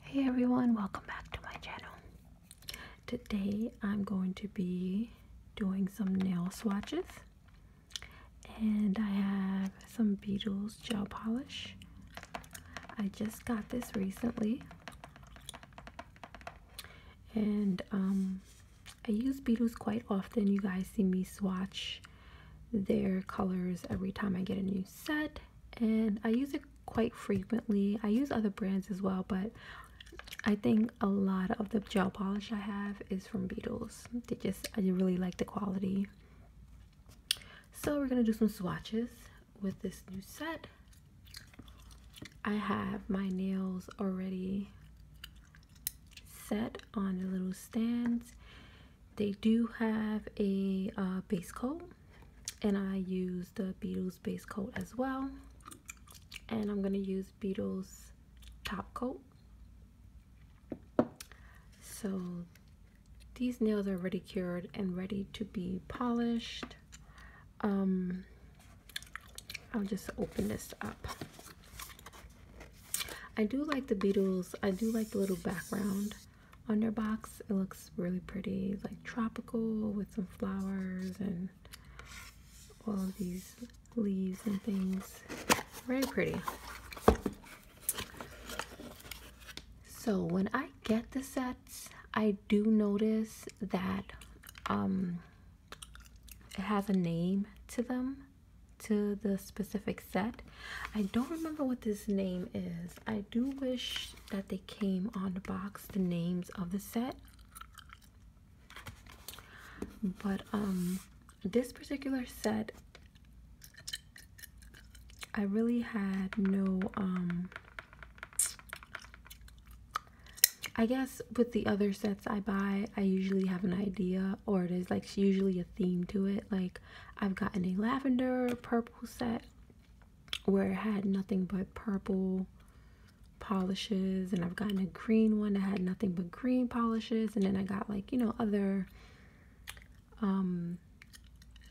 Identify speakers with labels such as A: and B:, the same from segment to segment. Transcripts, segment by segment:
A: Hey everyone, welcome back to my channel. Today I'm going to be doing some nail swatches and I have some Beetles gel polish. I just got this recently and um, I use Beetles quite often. You guys see me swatch their colors every time I get a new set and I use it quite frequently. I use other brands as well, but I think a lot of the gel polish I have is from Beetles. They just, I really like the quality. So we're going to do some swatches with this new set. I have my nails already set on the little stands they do have a uh, base coat and I use the Beetles base coat as well. And I'm going to use Beetles top coat. So these nails are ready cured and ready to be polished. Um, I'll just open this up. I do like the Beetles. I do like the little background on box. It looks really pretty, like tropical with some flowers and all of these leaves and things. Very pretty. So when I get the sets, I do notice that um, it has a name to them, to the specific set. I don't remember what this name is. I do wish that they came on the box the names of the set. But um this particular set I really had no um I guess with the other sets I buy, I usually have an idea or there's like usually a theme to it. Like I've gotten a lavender, purple sample set where it had nothing but purple polishes and I've gotten a green one that had nothing but green polishes and then I got like you know other um,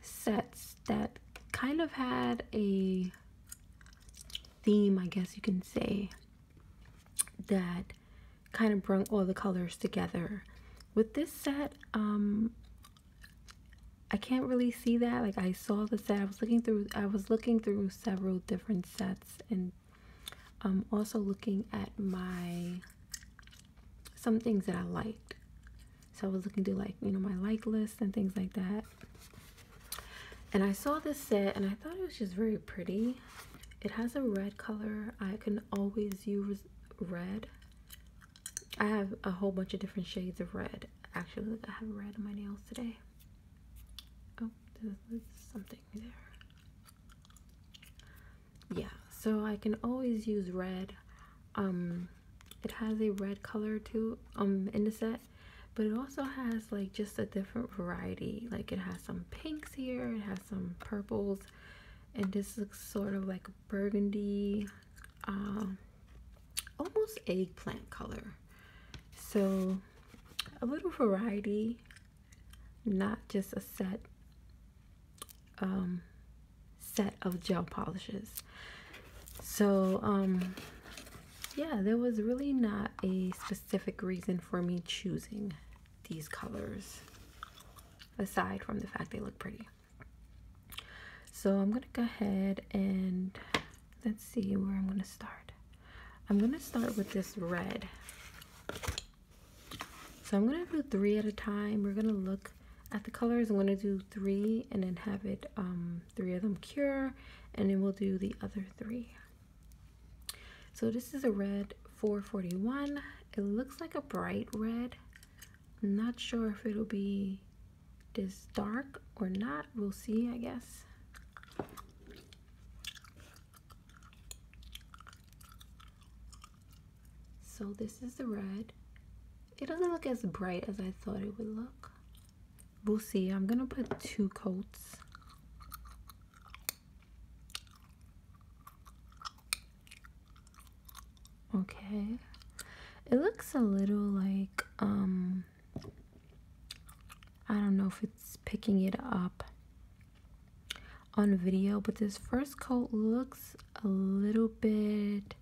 A: sets that kind of had a theme I guess you can say that kind of brought all the colors together with this set um, I can't really see that. Like I saw the set. I was looking through I was looking through several different sets and I'm um, also looking at my some things that I liked. So I was looking through like, you know, my like list and things like that. And I saw this set and I thought it was just very pretty. It has a red color. I can always use red. I have a whole bunch of different shades of red. Actually, I have red on my nails today. Oh, there's, there's something there. Yeah, so I can always use red. Um, it has a red color too um in the set, but it also has like just a different variety. Like it has some pinks here, it has some purples, and this looks sort of like burgundy, um, almost eggplant color. So a little variety, not just a set um, set of gel polishes. So um, yeah, there was really not a specific reason for me choosing these colors aside from the fact they look pretty. So I'm going to go ahead and let's see where I'm going to start. I'm going to start with this red. So I'm going to do three at a time. We're going to look at the colors. I'm going to do three and then have it um, three of them cure and then we'll do the other three. So this is a red 441. It looks like a bright red. I'm not sure if it'll be this dark or not. We'll see, I guess. So this is the red. It doesn't look as bright as I thought it would look. We'll see. I'm going to put two coats. Okay. It looks a little like, um, I don't know if it's picking it up on video, but this first coat looks a little bit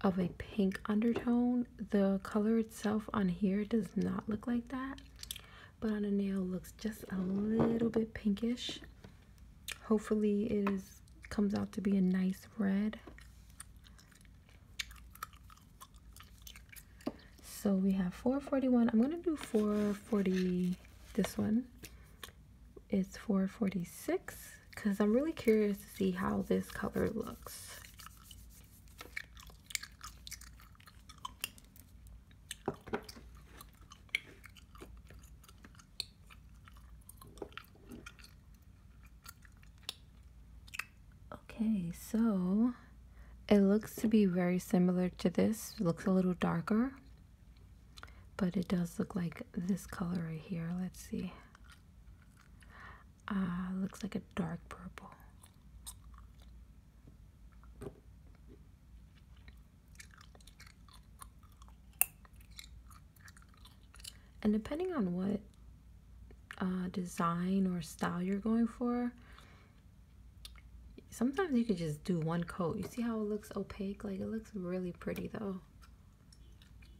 A: of a pink undertone. The color itself on here does not look like that, but on the nail looks just a little bit pinkish hopefully it comes out to be a nice red so we have 441 i'm gonna do 440 this one is 446 because i'm really curious to see how this color looks Okay, so it looks to be very similar to this. looks a little darker, but it does look like this color right here. Let's see. Ah, looks like a dark purple and depending on what uh, design or style you're going for sometimes you can just do one coat you see how it looks opaque like it looks really pretty though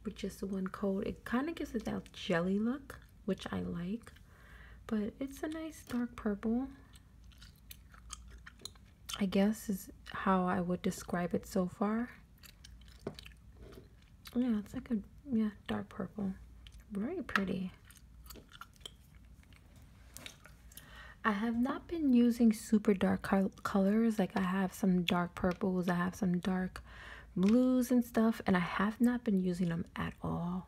A: with just one coat it kind of gives it that jelly look which I like but it's a nice dark purple I guess is how I would describe it so far. Yeah, it's like a yeah, dark purple. Very pretty. I have not been using super dark colors. Like I have some dark purples, I have some dark blues and stuff, and I have not been using them at all.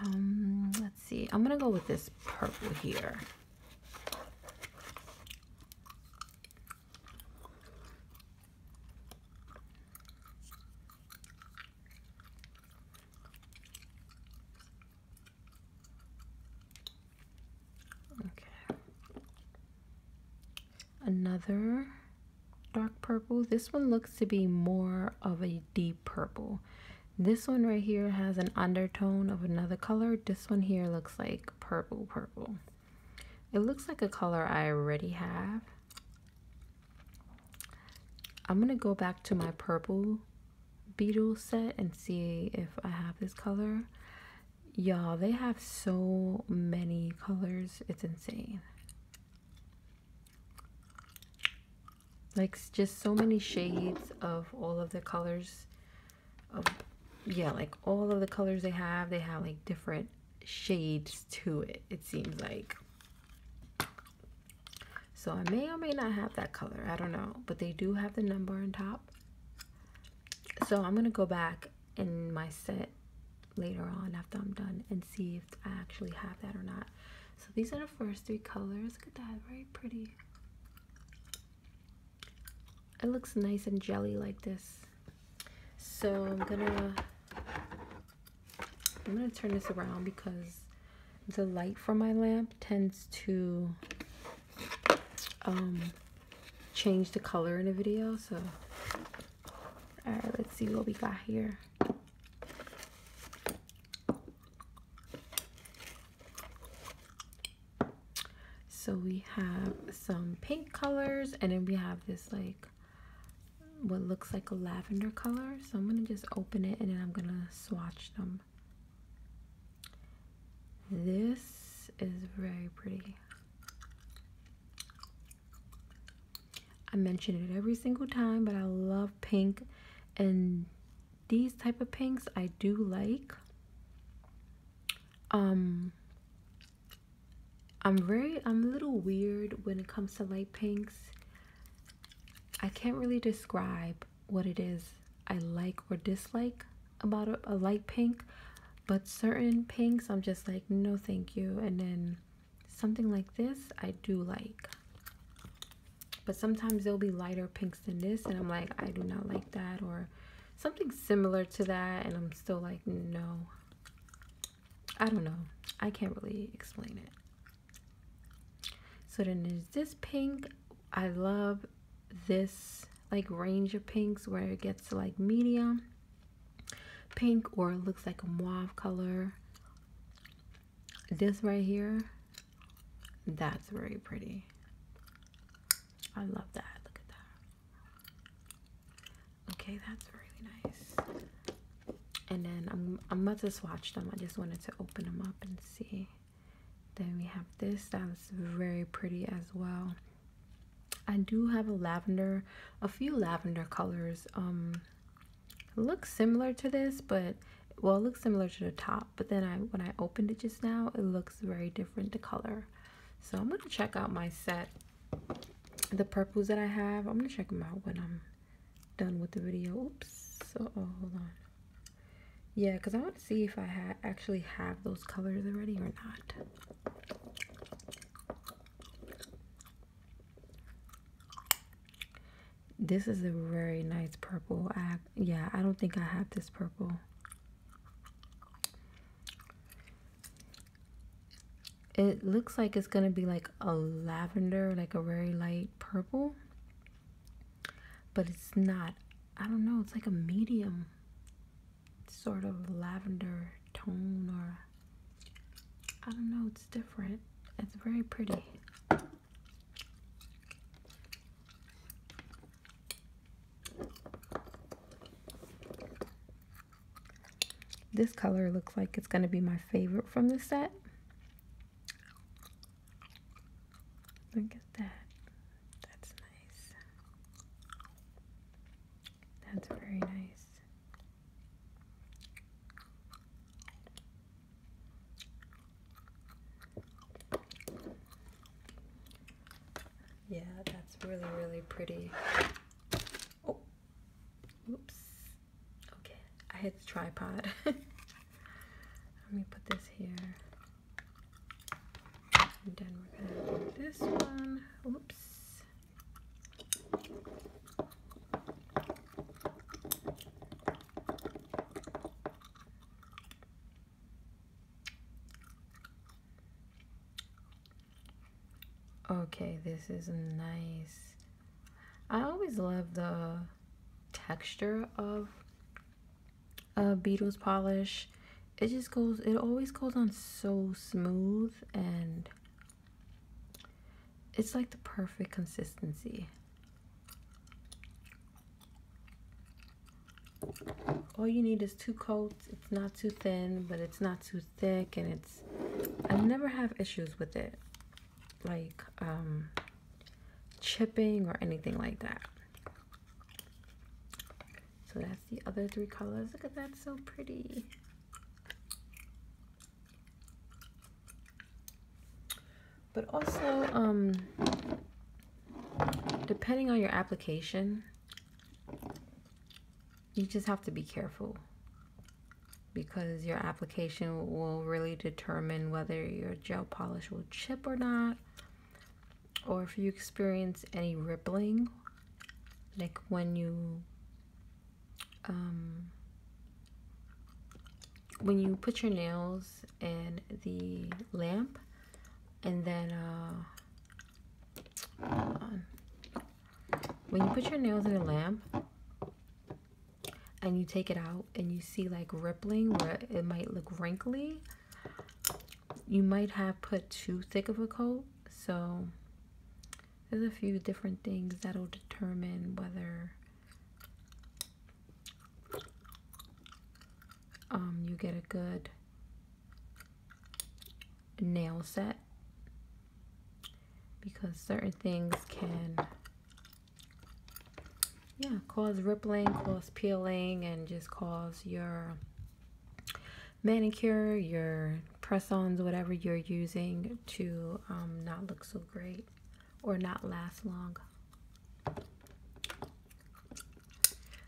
A: Um, let's see. I'm gonna go with this purple here. Okay. Another dark purple. This one looks to be more of a deep purple. This one right here has an undertone of another color. This one here looks like purple purple. It looks like a color I already have. I'm going to go back to my purple beetle set and see if I have this color. Y'all, they have so many colors. It's insane. Like, just so many shades of all of the colors yeah, like all of the colors they have, they have like different shades to it, it seems like. So I may or may not have that color, I don't know, but they do have the number on top. So I'm gonna go back in my set later on after I'm done and see if I actually have that or not. So these are the first three colors. Look at that, very pretty. It looks nice and jelly like this. So I'm gonna I'm gonna turn this around because the light from my lamp tends to um, change the color in a video. So all right, let's see what we got here. So we have some pink colors and then we have this like what looks like a lavender color. So I'm going to just open it and then I'm going to swatch them. This is very pretty. I mention it every single time, but I love pink and these type of pinks I do like um i'm very i'm a little weird when it comes to light pinks i can't really describe what it is i like or dislike about a, light pink but certain pinks i'm just like no thank you and then something like this i do like but sometimes there'll be lighter pinks than this and i'm like i do not like that or something similar to that and I'm still like no I don't know I can't really explain it so then there's this pink I love this like range of pinks where it gets to like medium pink or looks like a mauve color this right here that's very pretty I love that look at that Okay, that's really nice. And then I'm I'm about to swatch them. I just wanted to open them up and see. Then we have this that's very pretty as well. I do have a lavender, a few lavender colors. Um, looks similar to this, but well, it looks similar to the top. But then I when I opened it just now, it looks very different. The color. So I'm gonna check out my set, the purples that I have. I'm gonna check them out when I'm done with the video. Oops. So, oh, hold on. Yeah, because I want to see if I actually have those colors already or not. This is a very nice purple. I, yeah, I don't think I have this purple. It looks like it's going to be like a lavender, like a very light purple. But it's not. I don't know. It's like a medium sort of lavender tone or I don't know. It's different. It's very pretty. This color looks like it's going to be my favorite from the set. Look at that. That's nice. That's very nice. Yeah, that's really, really pretty. Oh, oops. Okay, I hit the tripod. Let me put this here. And then we're gonna do this one. Oops. Okay, this is nice. I always love the texture of a Beatles polish. It just goes, it always goes on so smooth and it's like the perfect consistency all you need is two coats it's not too thin but it's not too thick and it's I never have issues with it like um, chipping or anything like that so that's the other three colors look at that so pretty but also um, depending on your application you just have to be careful because your application will really determine whether your gel polish will chip or not or if you experience any rippling like when you um, when you put your nails in the lamp and then uh, when you put your nails in a lamp and you take it out and you see like rippling where it might look wrinkly, you might have put too thick of a coat. So there's a few different things that'll determine whether um, you get a good nail set because certain things can yeah cause rippling cause peeling and just cause your manicure your press-ons whatever you're using to um, not look so great or not last long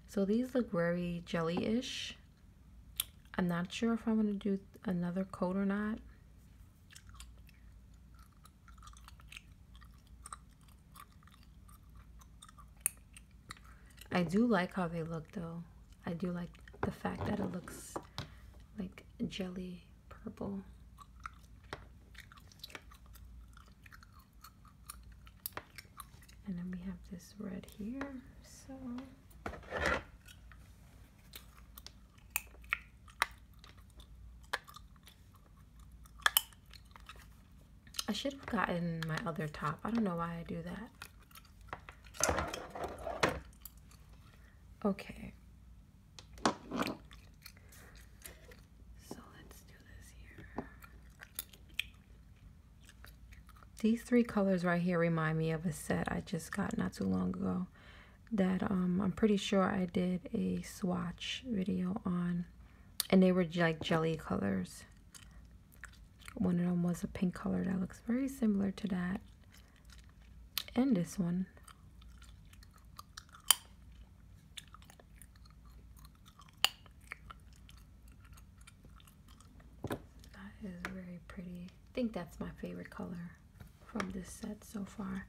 A: so these look very jelly-ish. I'm not sure if I'm going to do another coat or not. I do like how they look though. I do like the fact that it looks like jelly purple. And then we have this red here, so I should have gotten my other top. I don't know why I do that. Okay. So let's do this here. These three colors right here remind me of a set I just got not too long ago that um, I'm pretty sure I did a swatch video on. And they were like jelly colors. One of them was a pink color that looks very similar to that. And this one. That is very pretty. I think that's my favorite color from this set so far.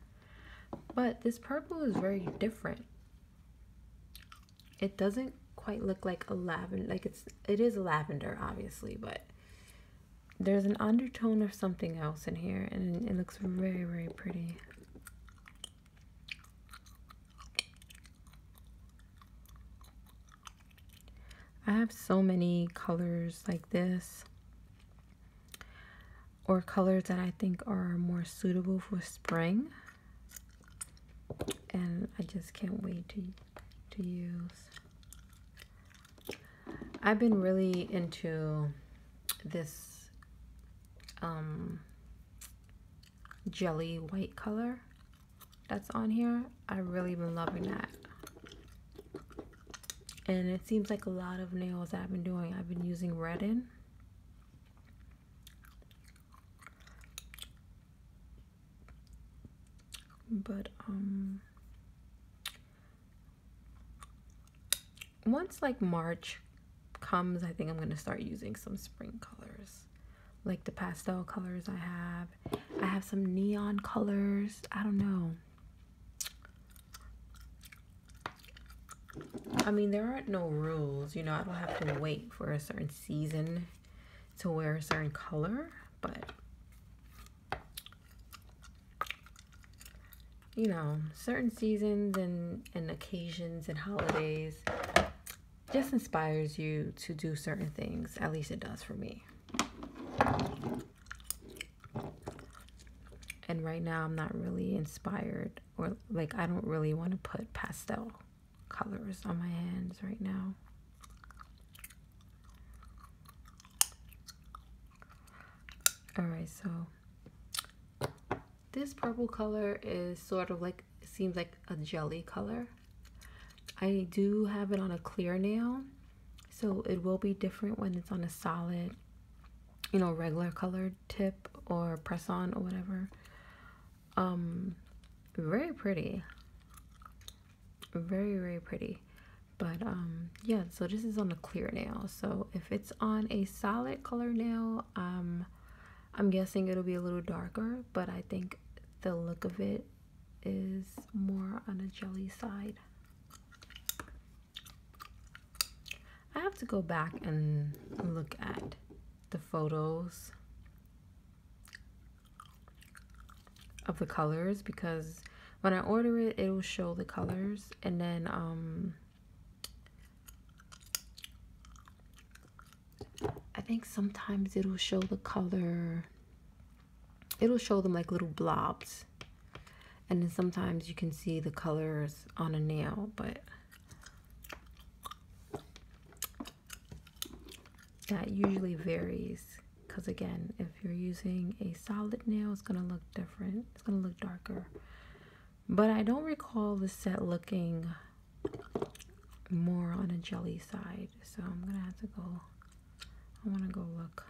A: But this purple is very different. It doesn't quite look like a lavender like it's it is lavender obviously, but there's an undertone of something else in here and it looks very very pretty I have so many colors like this or colors that I think are more suitable for spring and I just can't wait to, to use. I've been really into this um, jelly white color that's on here. I really been loving that. And it seems like a lot of nails I've been doing, I've been using red in. But um once like March comes, I think I'm going to start using some spring colors like the pastel colors I have. I have some neon colors. I don't know. I mean, there aren't no rules. You know, I don't have to wait for a certain season to wear a certain color, but you know, certain seasons and, and occasions and holidays, just inspires you to do certain things. At least it does for me. And right now, I'm not really inspired, or like, I don't really want to put pastel colors on my hands right now. All right, so this purple color is sort of like it seems like a jelly color I do have it on a clear nail so it will be different when it's on a solid you know regular colored tip or press on or whatever um very pretty very very pretty but um yeah so this is on a clear nail so if it's on a solid color nail um i'm guessing it'll be a little darker but i think the look of it is more on a jelly side. I have to go back and look at the photos of the colors because when I order it, it will show the colors and then um, I think sometimes it'll show the color, it'll show them like little blobs. And then sometimes you can see the colors on a nail, but that usually varies because again, if you're using a solid nail, it's going to look different. It's going to look darker. But I don't recall the set looking more on a jelly side. So I'm gonna have to go. I want to go look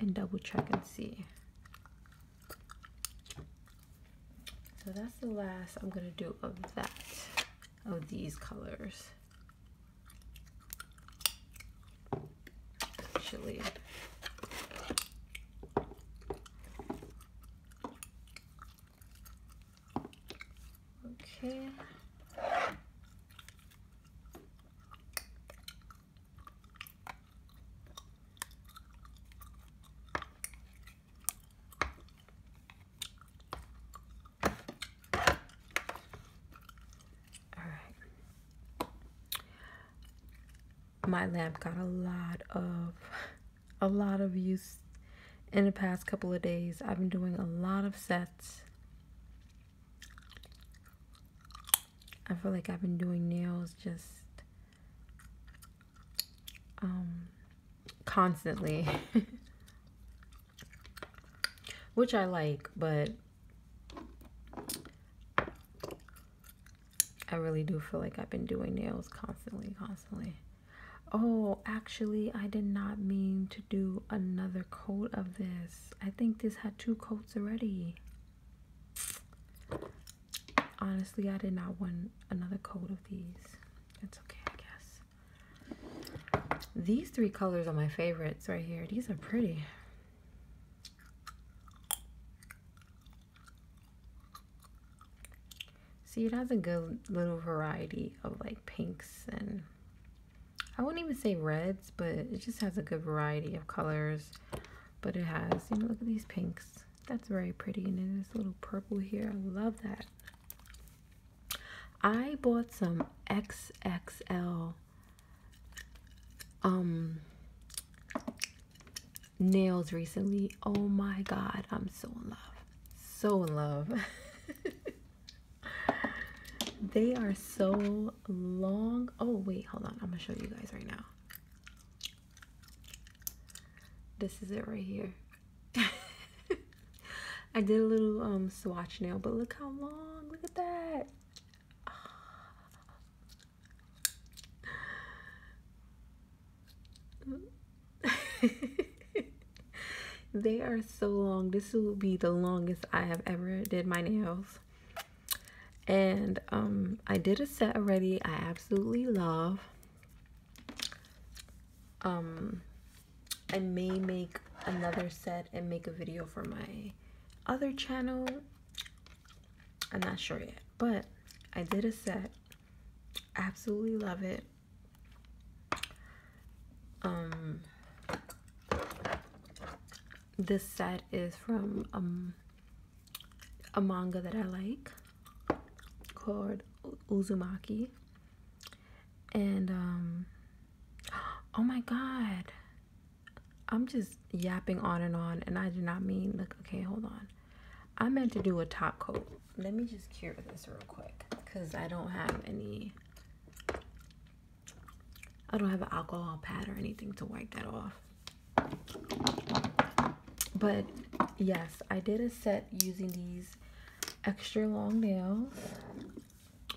A: and double check and see. So that's the last I'm gonna do of that, of these colors. Actually. Okay. my lamp got a lot of a lot of use in the past couple of days. I've been doing a lot of sets. I feel like I've been doing nails just um, constantly, which I like, but I really do feel like I've been doing nails constantly, constantly. Oh, actually, I did not mean to do another coat of this. I think this had two coats already. Honestly, I did not want another coat of these. It's okay, I guess. These three colors are my favorites right here. These are pretty. See, it has a good little variety of like pinks and I wouldn't even say reds, but it just has a good variety of colors. But it has, you know, look at these pinks. That's very pretty. And then this little purple here. I love that. I bought some XXL um nails recently. Oh my god, I'm so in love so in love. they are so long. Oh, wait, hold on. I'm going to show you guys right now. This is it right here. I did a little um, swatch nail, but look how long. Look at that. they are so long. This will be the longest I have ever did my nails. And um, I did a set already I absolutely love. Um, I may make another set and make a video for my other channel. I'm not sure yet, but I did a set. Absolutely love it. Um, this set is from um, a manga that I like called Uzumaki. And, um, oh my god. I'm just yapping on and on, and I did not mean, like, okay, hold on. I meant to do a top coat let me just cure this real quick because I don't have any I don't have an alcohol pad or anything to wipe that off. But yes, I did a set using these extra long nails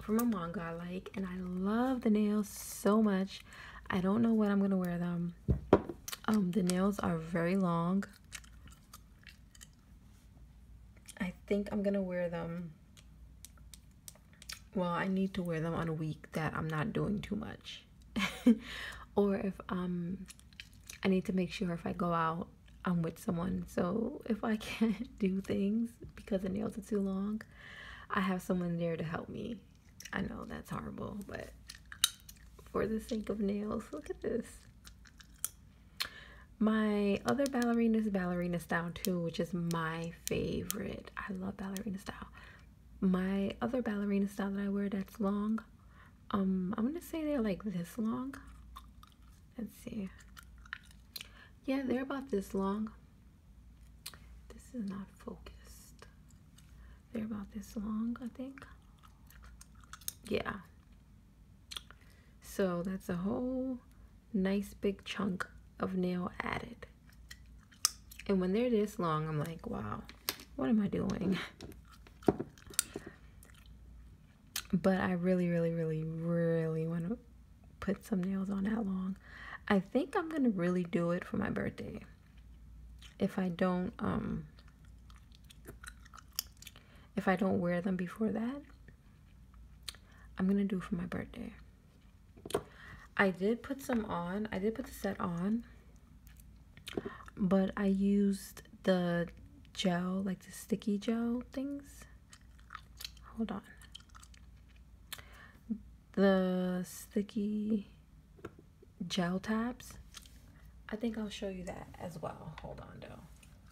A: from a manga I like and I love the nails so much. I don't know when I'm going to wear them. Um, the nails are very long I think I'm gonna wear them well I need to wear them on a week that I'm not doing too much or if um I need to make sure if I go out I'm with someone so if I can't do things because the nails are too long I have someone there to help me I know that's horrible but for the sake of nails look at this my other ballerina is ballerina style too, which is my favorite. I love ballerina style. My other ballerina style that I wear that's long, um, I'm gonna say they're like this long. Let's see. Yeah, they're about this long. This is not focused. They're about this long, I think. Yeah, so that's a whole nice big chunk of nail added. And when they're this long, I'm like, wow, what am I doing? But I really, really, really, really want to put some nails on that long. I think I'm going to really do it for my birthday. If I don't, um, if I don't wear them before that, I'm gonna do for my birthday. I did put some on, I did put the set on, but I used the gel, like the sticky gel things. Hold on. The sticky gel tabs. I think I'll show you that as well. Hold on though.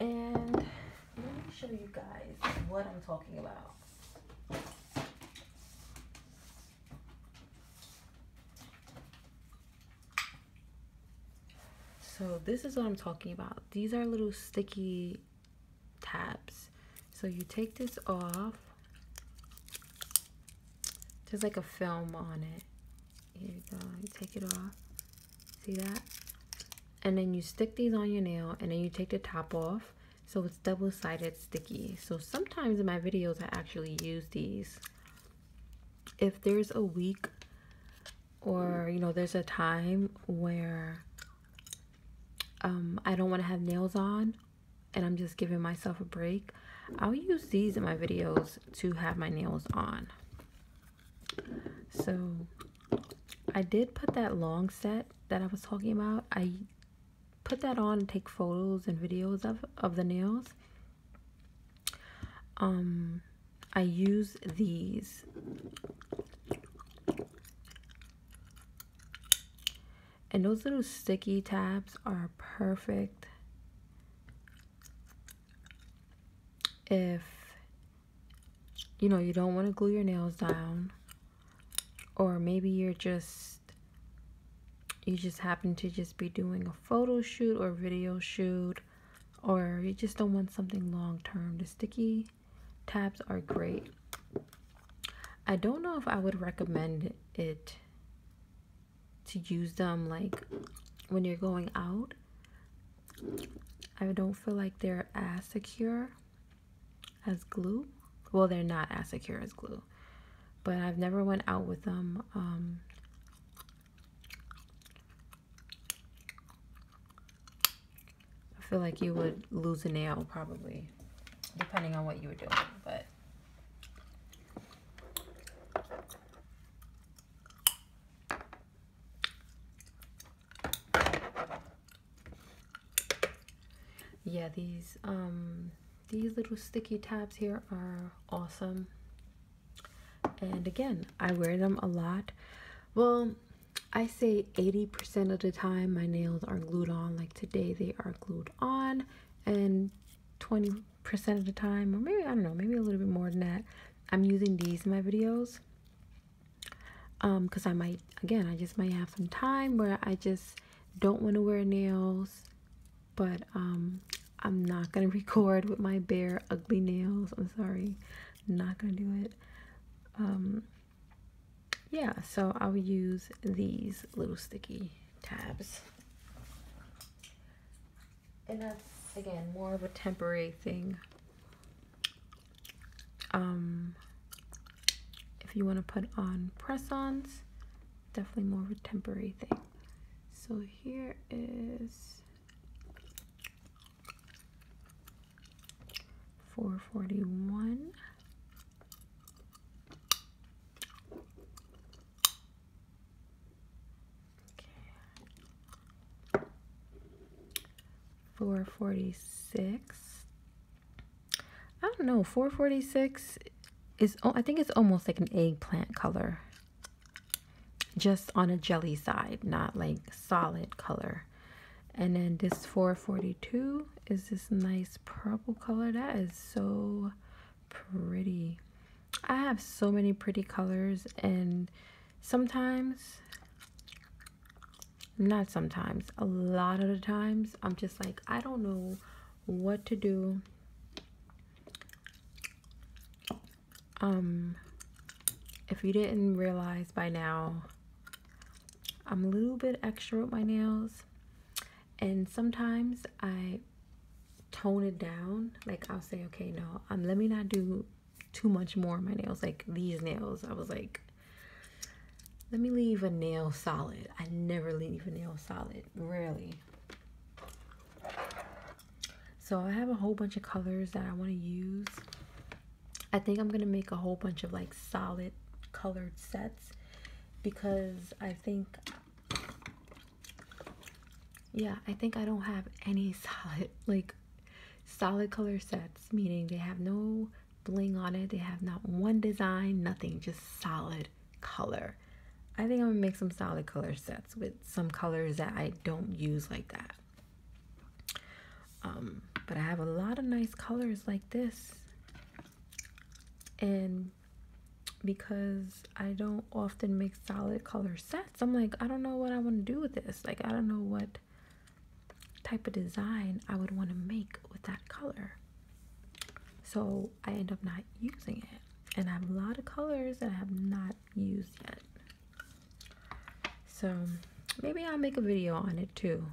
A: And let me show you guys what I'm talking about. So this is what I'm talking about. These are little sticky tabs. So you take this off. There's like a film on it. Here you go. You take it off. See that? And then you stick these on your nail and then you take the top off. So it's double-sided sticky. So sometimes in my videos I actually use these. If there's a week or you know there's a time where um, I don't want to have nails on and I'm just giving myself a break, I'll use these in my videos to have my nails on. So I did put that long set that I was talking about. I put that on and take photos and videos of, of the nails. Um, I use these and those little sticky tabs are perfect if you know you don't want to glue your nails down or maybe you're just you just happen to just be doing a photo shoot or video shoot or you just don't want something long term the sticky tabs are great I don't know if I would recommend it to use them like when you're going out. I don't feel like they're as secure as glue. Well, they're not as secure as glue, but I've never went out with them. Um, I feel like you would lose a nail probably depending on what you were doing. But yeah, these um, these little sticky tabs here are awesome. And again, I wear them a lot. Well, I say 80% of the time my nails are glued on. Like today, they are glued on and 20% of the time or maybe I don't know maybe a little bit more than that I'm using these in my videos um because I might again I just might have some time where I just don't want to wear nails but um I'm not gonna record with my bare ugly nails I'm sorry not gonna do it um yeah, so I'll use these little sticky tabs. And that's, again, more of a temporary thing. Um, if you want to put on press-ons, definitely more of a temporary thing. So here is 441 Okay. Four forty six. I don't know. Four forty six is. Oh, I think it's almost like an eggplant color. Just on a jelly side, not like solid color. And then this 442 is this nice purple color that is so pretty i have so many pretty colors and sometimes not sometimes a lot of the times i'm just like i don't know what to do um if you didn't realize by now i'm a little bit extra with my nails and sometimes I tone it down. Like I'll say, okay, no, um, let me not do too much more on my nails. Like these nails, I was like, let me leave a nail solid. I never leave a nail solid, really. So I have a whole bunch of colors that I want to use. I think I'm going to make a whole bunch of like solid colored sets because I think yeah, I think I don't have any solid like solid color sets, meaning they have no bling on it, they have not one design, nothing, just solid color. I think I'm gonna make some solid color sets with some colors that I don't use like that. Um, but I have a lot of nice colors like this and because I don't often make solid color sets, I'm like, I don't know what I want to do with this. Like, I don't know what type of design I would want to make with that color. So I end up not using it. And I have a lot of colors that I have not used yet. So maybe I'll make a video on it too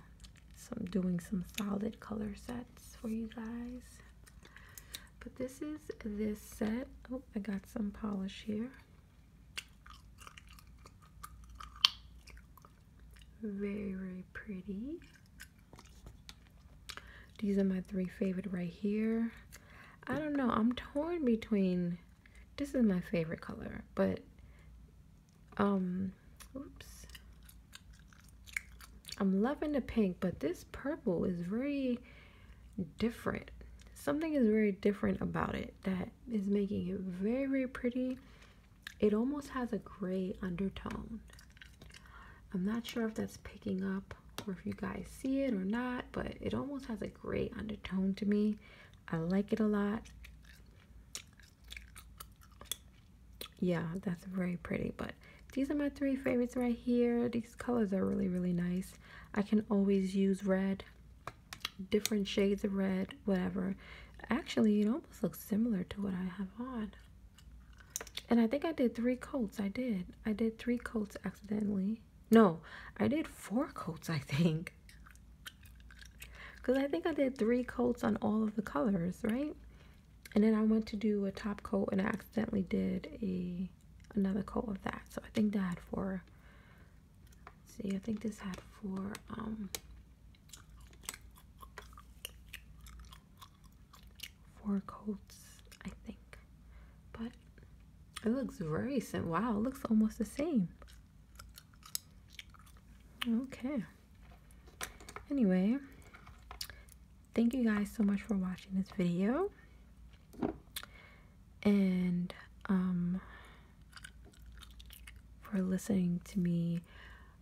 A: so I'm doing some solid color sets for you guys. But this is this set. Oh, I got some polish here. Very, very pretty. These are my three favorite right here. I don't know. I'm torn between... This is my favorite color, but um oops i'm loving the pink but this purple is very different something is very different about it that is making it very very pretty it almost has a gray undertone i'm not sure if that's picking up or if you guys see it or not but it almost has a gray undertone to me i like it a lot yeah that's very pretty but these are my three favorites right here these colors are really really nice i can always use red different shades of red whatever actually it almost looks similar to what i have on and i think i did three coats i did i did three coats accidentally no i did four coats i think because i think i did three coats on all of the colors right and then I went to do a top coat and I accidentally did a another coat of that. So I think that had four. see, I think this had four. um four coats, I think. But it looks very similar. Wow, it looks almost the same. Okay anyway thank you guys so much for watching this video and um, for listening to me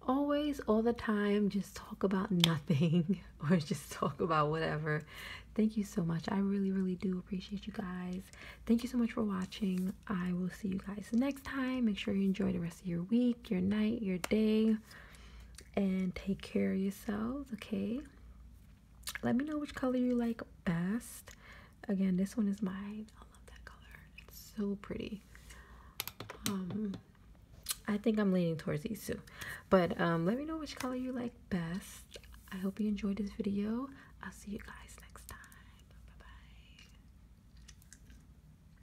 A: always all the time just talk about nothing or just talk about whatever thank you so much i really really do appreciate you guys thank you so much for watching i will see you guys next time make sure you enjoy the rest of your week your night your day and take care of yourselves, okay? Let me know which color you like best. Again, this one is mine. I love that color. It's so pretty. Um, I think I'm leaning towards these two. But um, let me know which color you like best. I hope you enjoyed this video. I'll see you guys next time. Bye-bye.